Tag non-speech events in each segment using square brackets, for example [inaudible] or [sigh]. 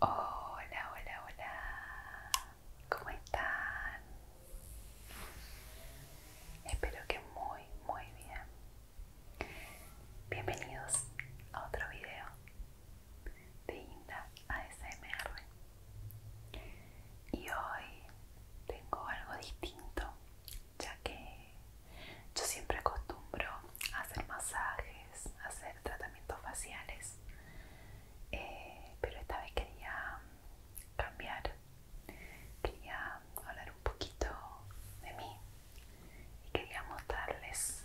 Hola, hola, hola. ¿Cómo están? Espero que muy, muy bien. Bienvenidos a otro video de Inda ASMR. Y hoy tengo algo distinto, ya que yo siempre acostumbro a hacer masajes, a hacer tratamientos faciales, eh, pero esta vez quería cambiar, quería hablar un poquito de mí y quería mostrarles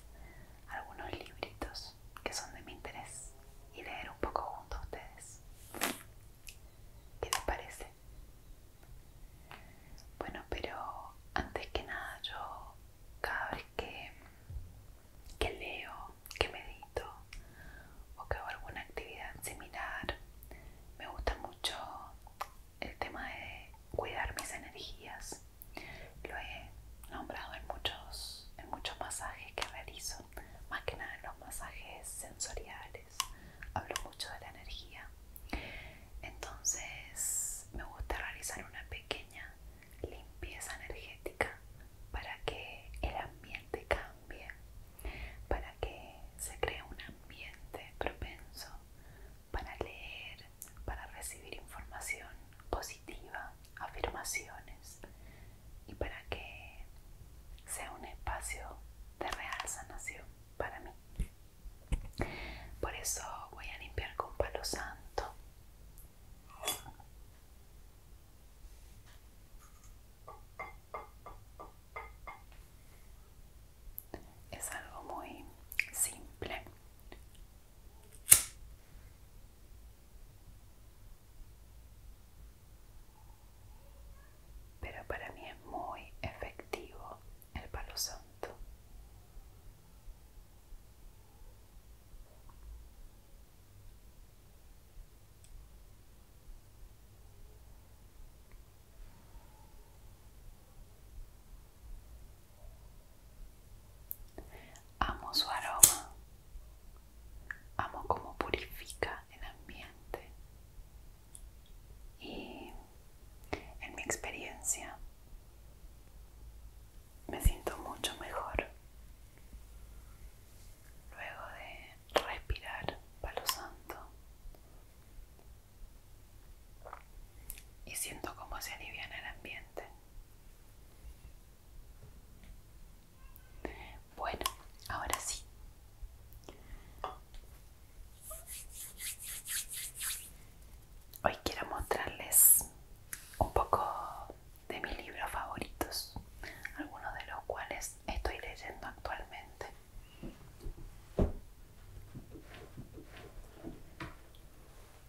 algunos libritos que son de mi interés y leer un poco junto a ustedes. ¿Qué te parece? Bueno, pero antes que nada yo cada vez que, que leo, que medito o que hago alguna actividad similar, me gusta mucho el tema de cuidar mis energías. Lo he nombrado en muchos, en muchos masajes que realizo más que nada en los masajes sensoriales, hablo mucho de la energía. Entonces me gusta realizar una pequeña limpieza energética para que el ambiente cambie, para que se cree un ambiente propenso para leer, para recibir información positiva, afirmaciones, y para que sea un espacio de real sanación para mí. Por eso voy a limpiar con palo santo. Es algo muy simple. Pero para mí es muy efectivo el palo santo. Amo su aroma Amo cómo purifica el ambiente. Y en mi experiencia me siento mucho mejor luego de respirar palo santo. Y siento cómo se alivia el ambiente. Bueno, ahora sí. Hoy quiero mostrarles un poco de mis libros favoritos, algunos de los cuales estoy leyendo actualmente.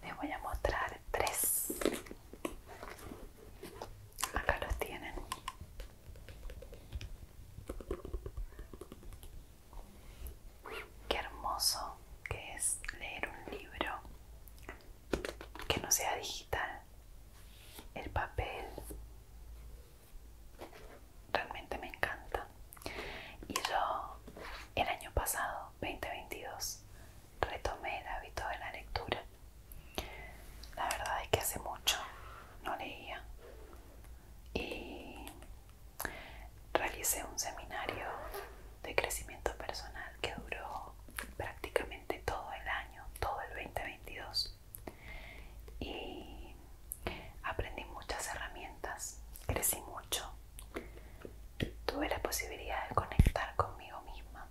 Les voy a mostrar tres. Acá los tienen. Qué hermoso que es leer un libro que no sea digital. El papel realmente me encanta. Y yo el año pasado, 2022, retomé el hábito de la lectura la verdad es que hace mucho no leía y realicé un seminario de crecimiento personal que duró prácticamente todo el año, todo el 2022 y aprendí muchas herramientas, crecí mucho, tuve la posibilidad de conectar conmigo misma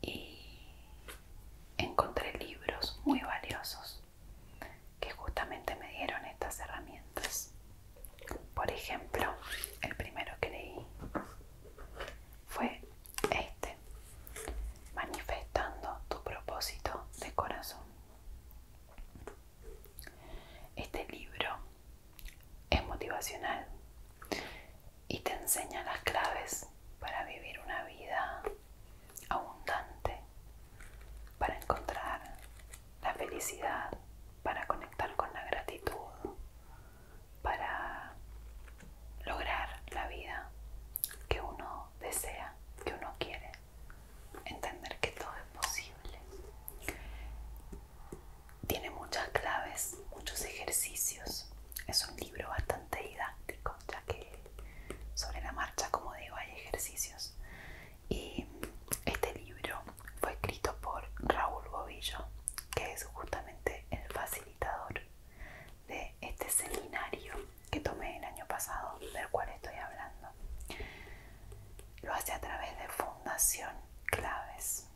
y encontré libros muy valiosos que justamente me dieron estas herramientas. Por ejemplo, el primero que leí fue este, Manifestando tu propósito de corazón. Este libro es motivacional y te enseña las claves para vivir una vida abundante, para encontrar la felicidad, para conectar con la gratitud, para lograr la vida que uno desea, que uno quiere, entender que todo es posible. Tiene muchas claves, muchos ejercicios. Es un libro bastante didáctico ya que sobre la marcha, como digo, hay ejercicios. Y este libro fue escrito por Raúl Bobillo, que es justamente el facilitador de este seminario que tomé el año pasado, del cual estoy hablando. Lo hace a través de Fundación Claves.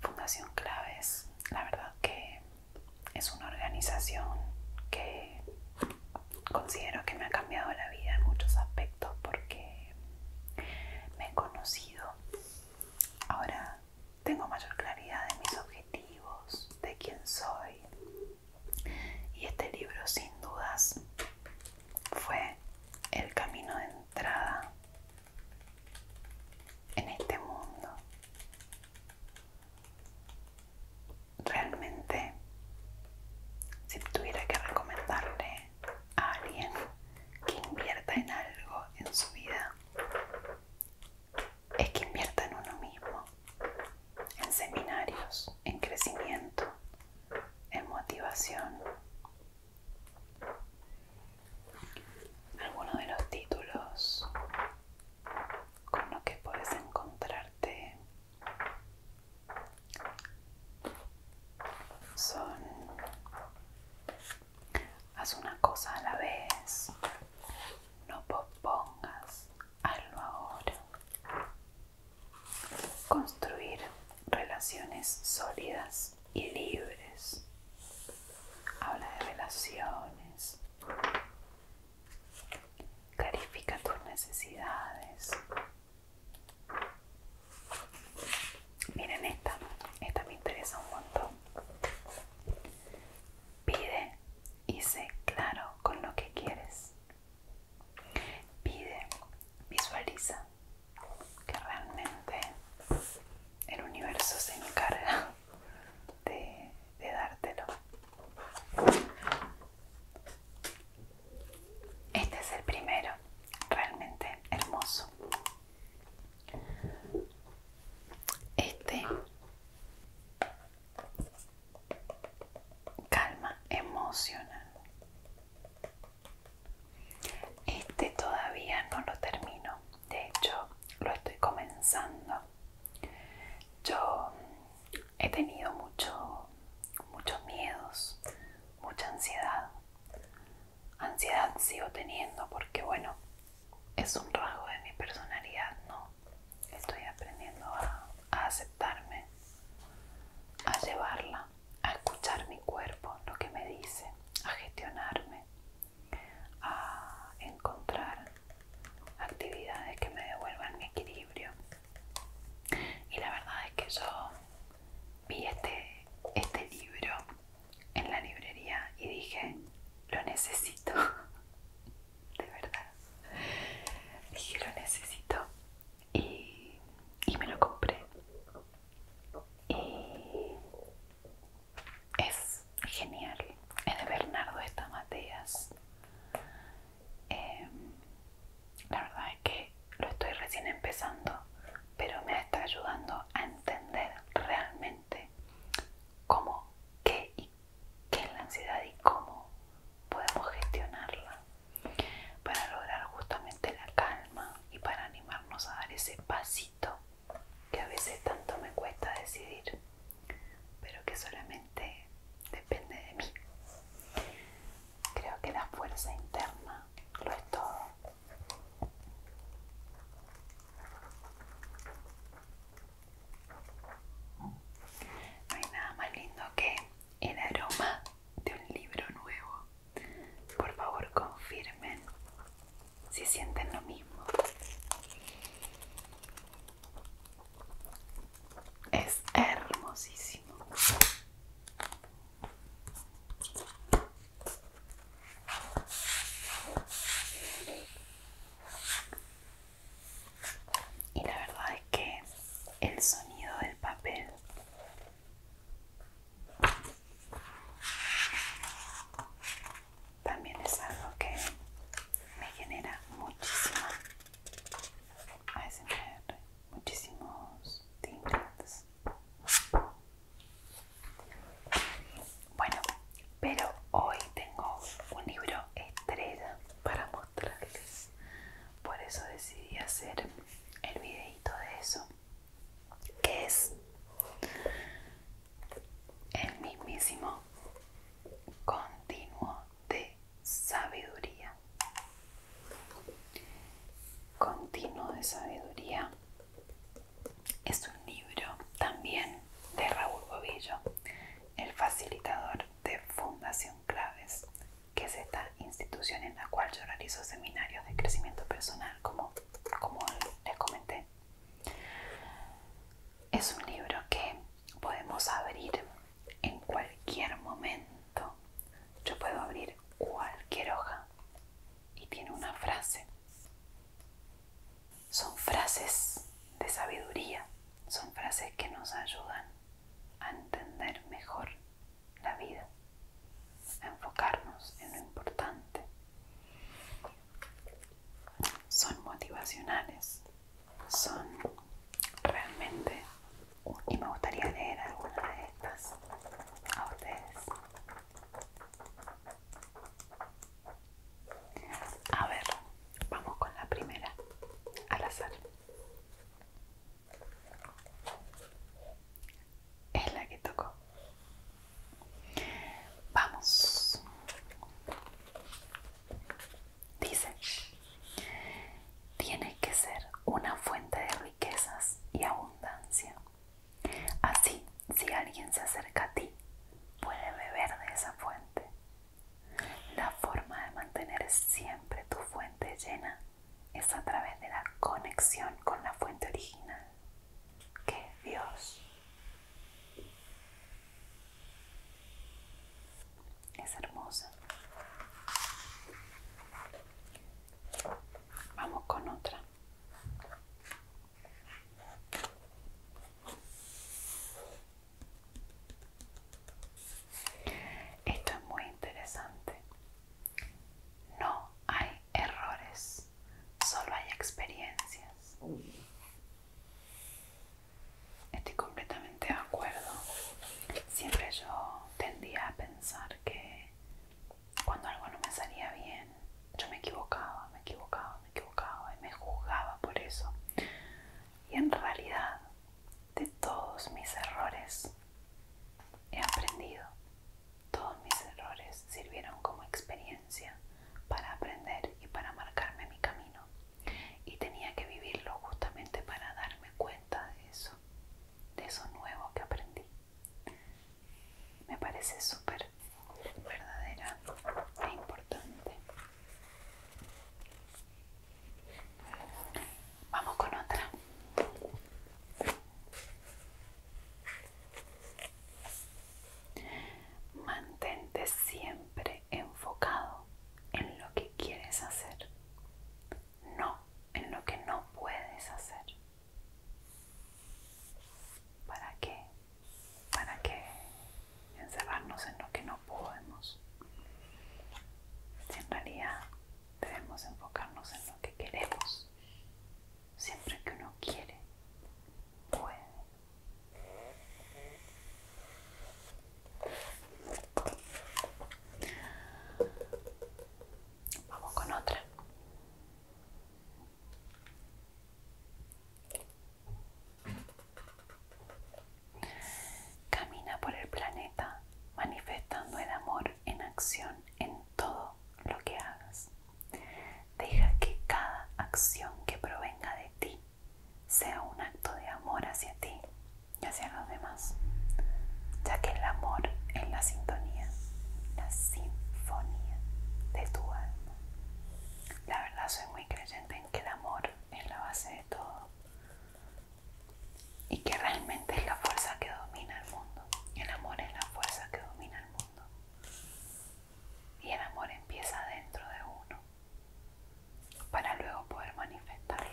Fundación Claves, la verdad que es una organización que considero que me ha cambiado la vida en muchos aspectos porque me he conocido. Ahora tengo mayor claridad de mis objetivos, de quién soy. Y este libro sin dudas fue el camino de entrada en este mundo. Realmente, si tuviera que recomendarle a alguien que invierta en algo en su vida, es que invierta en uno mismo, en seminarios, en crecimiento, en motivación algunos de los títulos con los que puedes encontrarte son haz una cosa a la vez no pospongas hazlo ahora construir relaciones sólidas y libres habla de relaciones Clarifica tus necesidades. Miren esta, esta me interesa un montón. Pide y sé claro con lo que quieres. Pide, visualiza que realmente el universo se encarga de, dártelo. Este es el primero, realmente hermoso. Este calma emocional. Este todavía no lo termino de hecho lo estoy comenzando yo he tenido mucho, muchos miedos mucha ansiedad ansiedad sigo teniendo porque bueno es un rasgo de mi personalidad no estoy aprendiendo a aceptarme a llevarla a escuchar mi cuerpo lo que me dice a gestionarme a encontrar actividades que me devuelvan mi equilibrio. Y la verdad es que yo vi este, este libro en la librería y dije, lo necesito. [laughs] De verdad. Dije, lo necesito. Y, y me lo compré. Y es genial. Es de Bernardo Estamateas. Em, la verdad es que lo estoy recién empezando, pero me está ayudando a entender realmente cómo, qué, qué es la ansiedad y cómo podemos gestionarla para lograr justamente la calma y para animarnos a dar ese pasito que a veces tanto me cuesta decidir, pero que solamente depende de mí. Creo que la fuerza interna lo es todo. No hay nada más lindo que el aroma de un libro nuevo. Por favor confirmen si sienten lo mismo. Es hermosísimo. Y la verdad es que el sonido del papel también es algo que me genera muchísima ASMR, muchísimos tingles. Bueno, pero hoy tengo un libro estrella para mostrarles. Por eso decidí hacer el videito de eso. Que es el mismísimo continuo de sabiduría. Continuo de sabiduría es un libro también de Raúl Bobillo, el facilitador de Fundación Claves, que es esta institución en la cual yo realizo seminarios de crecimiento personal, como, como les comenté. Es un libro que podemos abrir en cualquier momento. Yo puedo abrir cualquier hoja y tiene una frase. Son frases de sabiduría, son frases que nos ayudan a entender mejor la vida, a enfocarnos en lo importante son motivacionales, son realmente... Y me gustaría leer alguna de estas a ustedes. A ver, vamos con la primera, al azar. Es la que tocó. Vamos. Dice, tiene que ser una fuente de riquezas y abundancia. Así, si alguien se acerca a ti, puede beber de esa fuente. La forma de mantener siempre tu fuente llena es a través de la conexión con la fuente original, que es Dios. Es hermosa. Vamos con otra. Esto es muy interesante. No hay errores, solo hay experiencias. Estoy completamente de acuerdo. Siempre yo tendía a pensar que cuando algo no me salía bien, yo me equivocaba, me equivocaba, me equivocaba y me juzgaba por eso. Y en realidad, de todos mis errores he aprendido. Todos mis errores sirvieron como experiencia para aprender y para marcarme mi camino. Y tenía que vivirlo justamente para darme cuenta de eso, de eso nuevo que aprendí. Me parece súper verdadera e importante. Vamos con otra. Mantente siempre enfocado en lo que quieres hacer, no en lo que no puedes hacer. ¿Para qué? ¿Para qué encerrarnos en lo que no podemos? Si en realidad debemos enfocarnos en lo que queremos. Siempre que uno quiere, Vamos con otra. Camina por el planeta manifestando el amor en acción en todo lo que hagas. Deja que cada acción que provenga de ti sea un acto de amor hacia ti y hacia los demás, ya que el amor es la sintonía, la sinfonía de tu alma. La verdad soy muy creyente en que el amor es la base de todo y que realmente es la fuerza que domina el mundo. El amor es la fuerza que domina el mundo y el amor empieza dentro de uno para luego poder manifestarlo.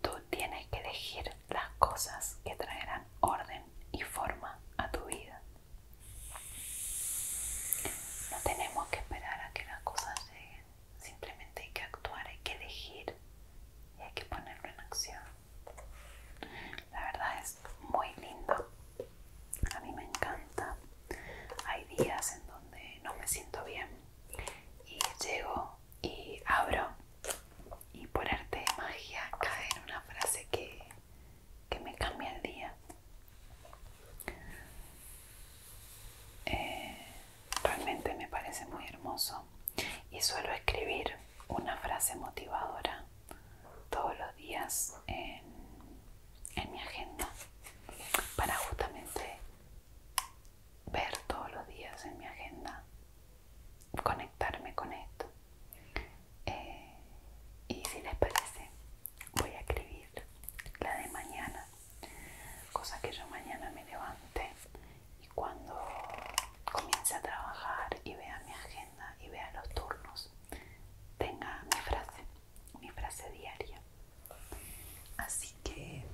Tú tienes que elegir las cosas que traerán orden y forma a tu vida. No tenemos que esperar a que las cosas lleguen, simplemente hay que actuar, hay que elegir y hay que ponerlo en acción. La verdad es muy lindo, a mí me encanta. Hay días en donde no me siento bien y llego y abro y por arte de magia cae en una frase que que me cambia el día. Eh, realmente me parece muy hermoso y suelo escribir una frase motivadora todos los días en mi agenda para justamente ver todos los días en mi agenda conectarme con esto eh, y si les parece voy a escribir la de mañana cosa que yo mañana me levante y cuando comience a trabajar y vea mi agenda y vea los turnos tenga mi frase mi frase diaria así que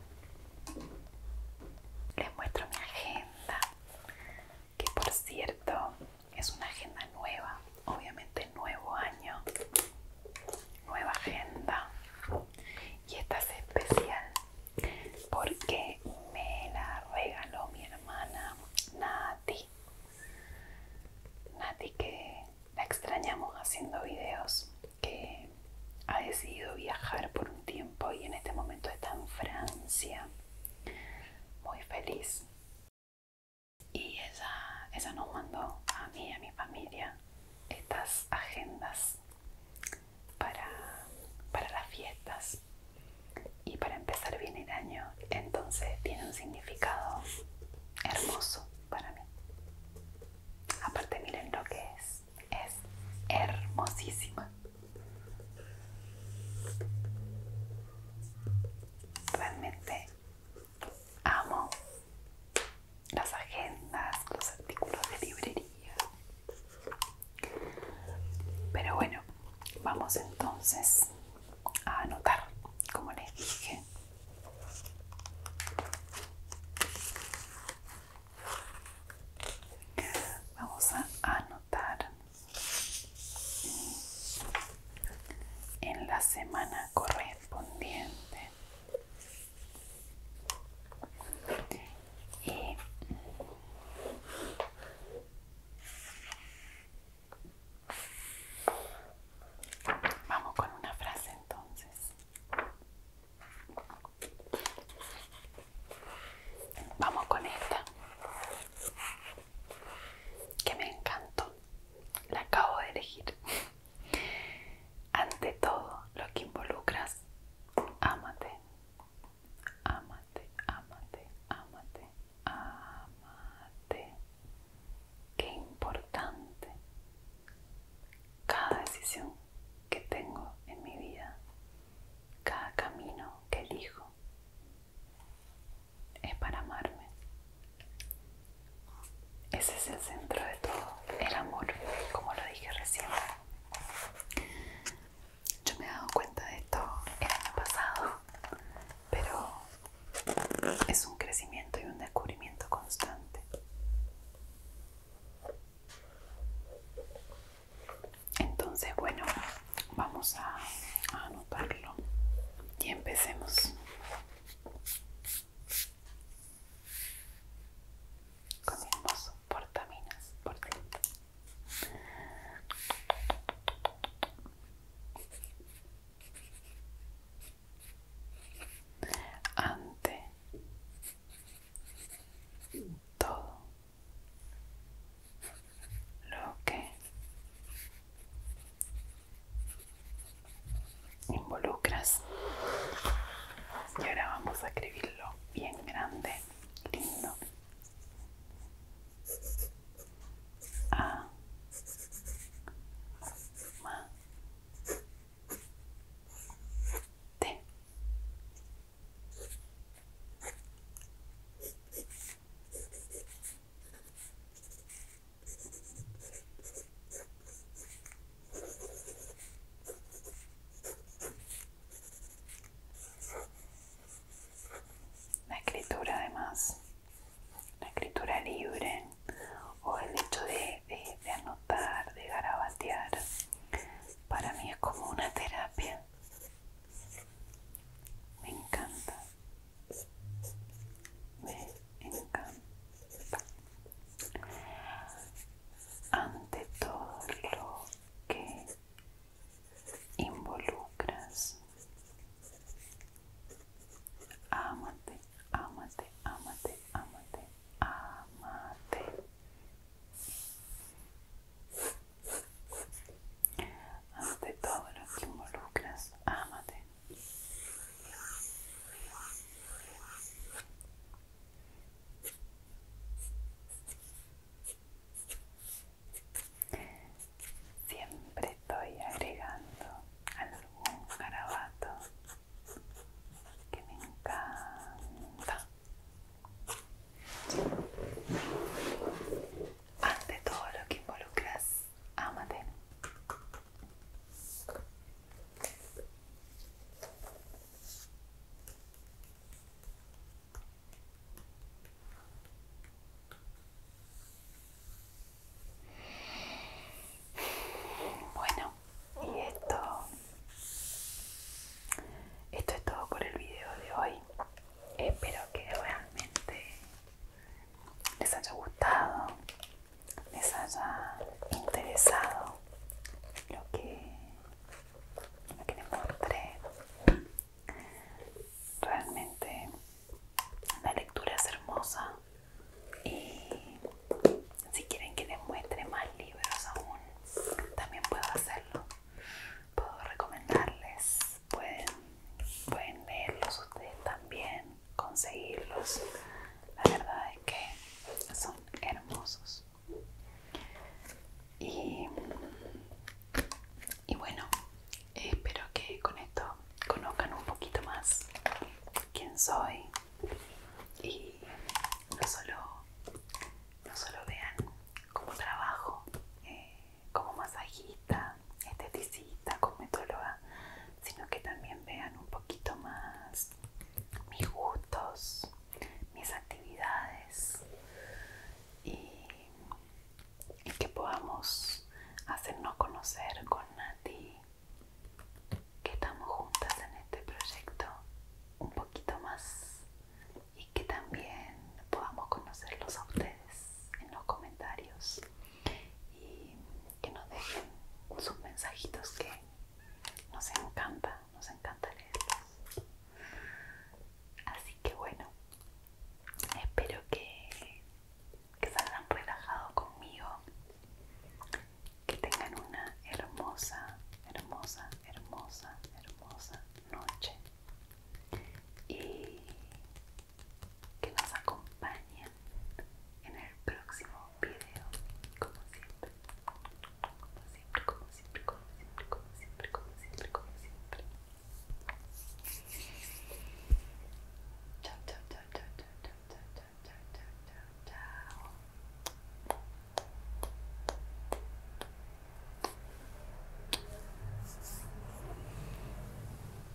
les muestro mi agenda que por cierto es una agenda nueva, obviamente nuevo año, nueva agenda. Y esta es especial porque me la regaló mi hermana Nati. Nati que la extrañamos haciendo videos, que ha decidido viajar por un tiempo y en este momento está en Francia. Muy feliz. Y ella, nos mandó a mí y a mi familia estas agendas para, para las fiestas y para empezar bien el año. Entonces tiene un significado hermoso para mí. Aparte miren lo que es. Es hermosísima realmente amo las agendas, los artículos de librería. Pero bueno, vamos entonces a anotar, como les dije. Vamos a anotar en la semana correspondiente vamos con una frase entonces vamos con esta que me encantó. La acabo de elegir. Ante todo lo que involucras, ámate. Ámate, ámate, ámate, ámate. Qué importante. Cada decisión que tengo en mi vida, cada camino que elijo, es para amarme. Ese es el centro de todo, el amor, como lo dije recién. Yo me he dado cuenta de esto el año pasado, pero es un crecimiento y un descubrimiento constante. Entonces, bueno, Vamos a, anotarlo y empecemos con portaminas por dentro. Ante todo lo que involucras y ahora vamos a escribirlo bien grande lindo a la escritura además, la escritura libre o el hecho de, anotar, de garabatear, para mí es como una terapia. Me encanta me encanta ante todo lo que involucras amate amate amate amate amate ante todo lo que involucras, ámate. Siempre estoy agregando algún garabato que me encanta ante todo lo que involucras, ámate. Bueno, y esto, esto es todo por el video de hoy. Espero que realmente les haya gustado, les haya interesado lo que, les mostré. Realmente la lectura es hermosa y si quieren que les muestre más libros aún, también puedo hacerlo. Puedo recomendarles pueden, pueden leerlos ustedes también, conseguirlos. La verdad es que son hermosos. Y, bueno, espero que con esto conozcan un poquito más quién soy y no solo, no solo vean como trabajo eh, como masajista, esteticista, cosmetóloga, sino que también vean un poquito más mis gustos, mis actividades y, que podamos hacernos conocer con Nati, que estamos juntas en este proyecto un poquito más y que también podamos conocerlos a ustedes en los comentarios y que nos dejen sus mensajitos que nos encanta, nos encanta leerlos. Así que bueno, espero que, que hayan relajado conmigo, que tengan una hermosa, hermosa, hermosa, hermosa noche. Y que nos acompañen en el próximo video como siempre como siempre como siempre como siempre como siempre como siempre como siempre